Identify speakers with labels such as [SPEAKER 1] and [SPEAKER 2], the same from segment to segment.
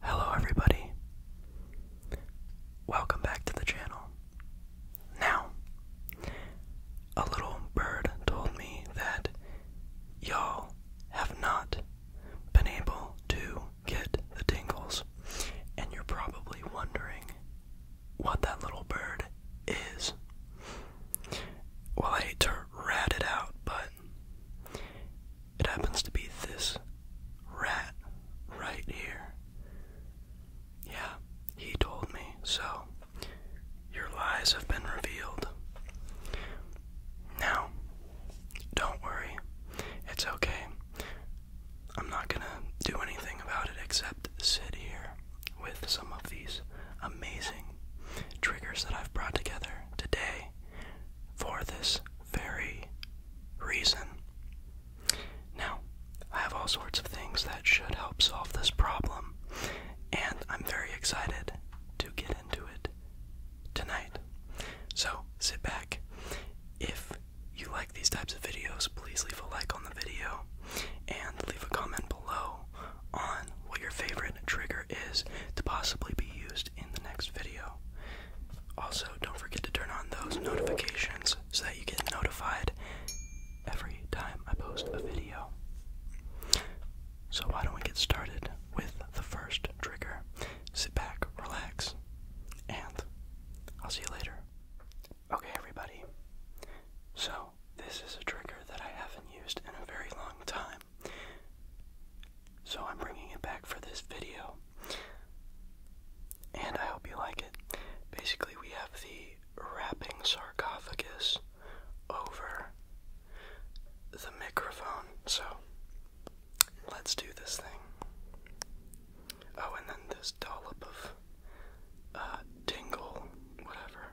[SPEAKER 1] Hello, everybody. Welcome back to the channel. Now, a little bird told me that y'all have not been able to get the tingles, and you're probably wondering what that little bird is. Well, I hate to rat it out, but it happens to be this rat right here. Yeah, he told me, so your lies have been revealed. Now, don't worry, it's okay. I'm not gonna do anything about it except sit here with some of these amazing triggers that I've brought together today for this very reason. Now, I have all sorts of things that should help solve this problem, and I'm very excited to get into it tonight. So, sit back. If you like these types of videos, please leave a like on the video and leave a comment below on what your favorite trigger is to possibly be used in the next video. Also, don't forget to turn on those notifications so that you get notified every time I post a video. So, why don't we get started with the first trigger? Sit back, relax, and I'll see you later. Okay, everybody. So, this is a trigger that I haven't used in a very long time. So I'm bringing it back for this video. And I hope you like it. Basically, we have the wrapping sarcophagus over the microphone. So let's do this thing. Oh, and then this dollop of uh, dingle, whatever.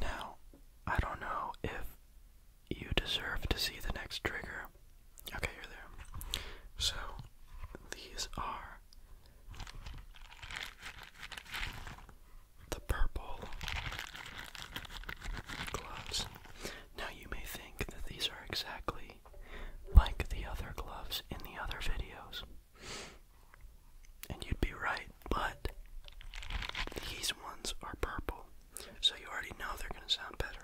[SPEAKER 1] Now, I don't know if you deserve to see the next trigger. Okay, you're there. So these are the purple gloves. Now you may think that these are exactly like the other gloves in the other videos. And you'd be right, but these ones are purple. So you already know they're going to sound better.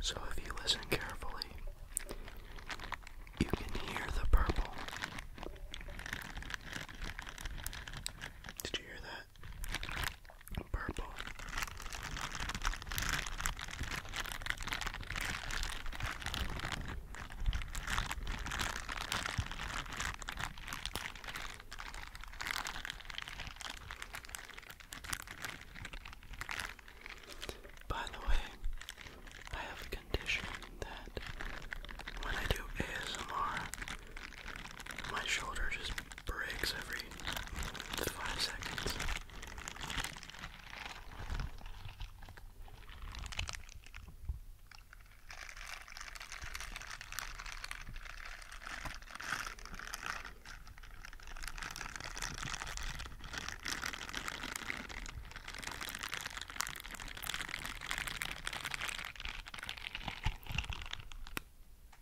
[SPEAKER 1] So, if you listen carefully, you can hear the purple. Did you hear that? purple. By the way, I have a condition that when I do ASMR, my shoulder just breaks every five seconds.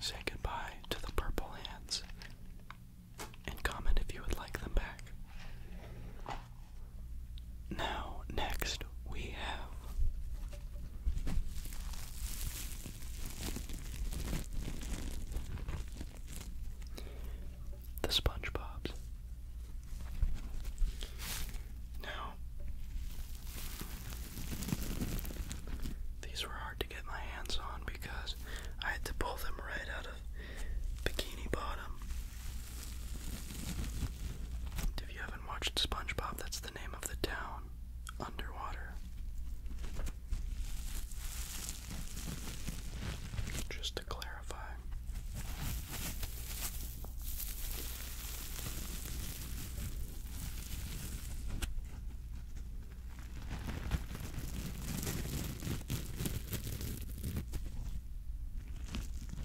[SPEAKER 1] Say goodbye to the purple hands and comment if you would like them back. Now, next we have the SpongeBob's. Now, these were hard to get my hands on because I had to pull them right out of Bikini Bottom if you haven't watched SpongeBob, that's the name of the town underwater. Just to clarify.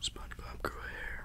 [SPEAKER 1] SpongeBob grew a hair.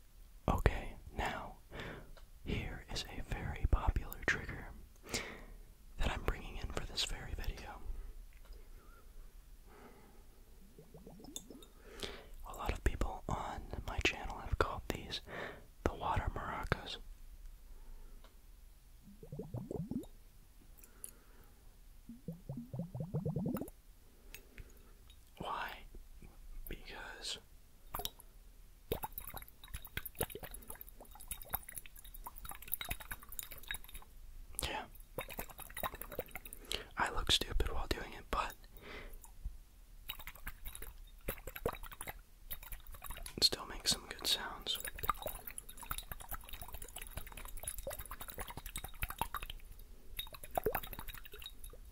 [SPEAKER 1] Okay, now, here is a very popular trigger that I'm bringing in for this very video. A lot of people on my channel have called these the water maracas. Why? Because yeah, I look stupid while doing it, but it still makes some good sounds.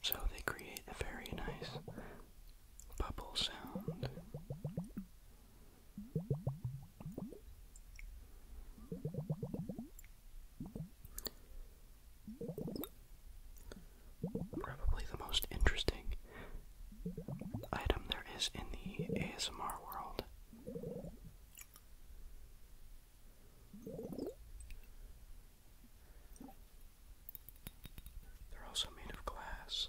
[SPEAKER 1] So they create a very nice bubble sound. Probably the most interesting item there is in the ASMR world. They're also made of glass.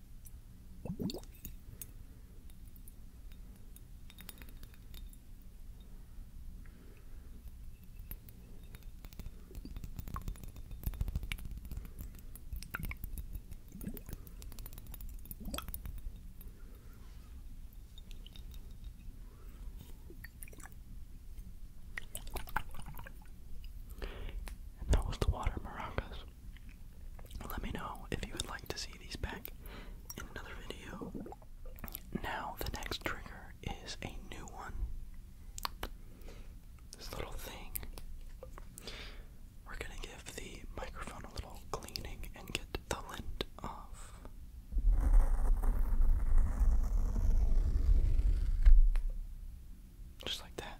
[SPEAKER 1] And that was the water maracas. Let me know if you would like to see these back in another video. Now, the next trigger is a new one. This little thing. We're gonna give the microphone a little cleaning and get the lint off. Just like that.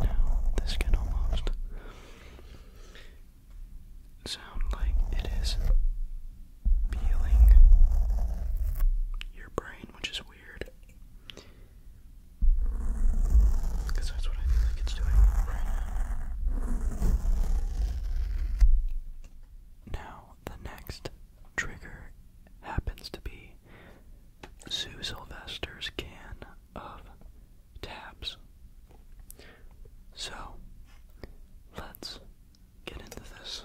[SPEAKER 1] Now, this can almost sound like it is peeling your brain, which is weird. Because that's what I feel like it's doing right now. Now, the next trigger happens to be Sue Sylvester's can of tabs. So, let's get into this.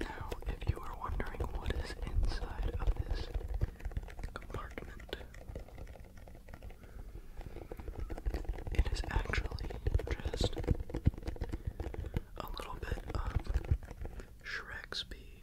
[SPEAKER 1] Now, if you are wondering what is inside of this compartment, it is actually just a little bit of Shrek's pee.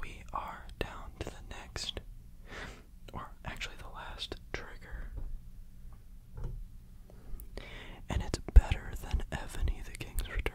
[SPEAKER 1] We are down to the next, or actually the last trigger. And it's better than Ebony the King's Return.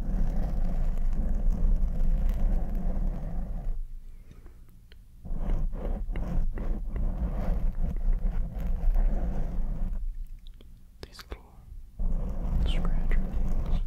[SPEAKER 1] These little scratcher things. Just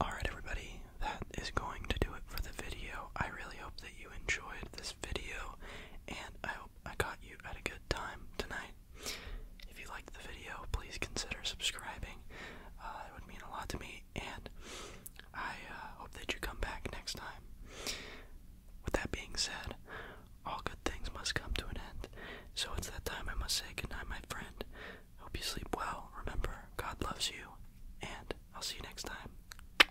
[SPEAKER 1] Alright, everybody, that is going to do it for the video. I really hope that you enjoyed this video, and I hope. I got you at a good time tonight. If you liked the video, please consider subscribing. it uh, would mean a lot to me, and I uh, hope that you come back next time. With that being said, all good things must come to an end, so it's that time I must say goodnight, my friend. Hope you sleep well. Remember, God loves you, and I'll see you next time.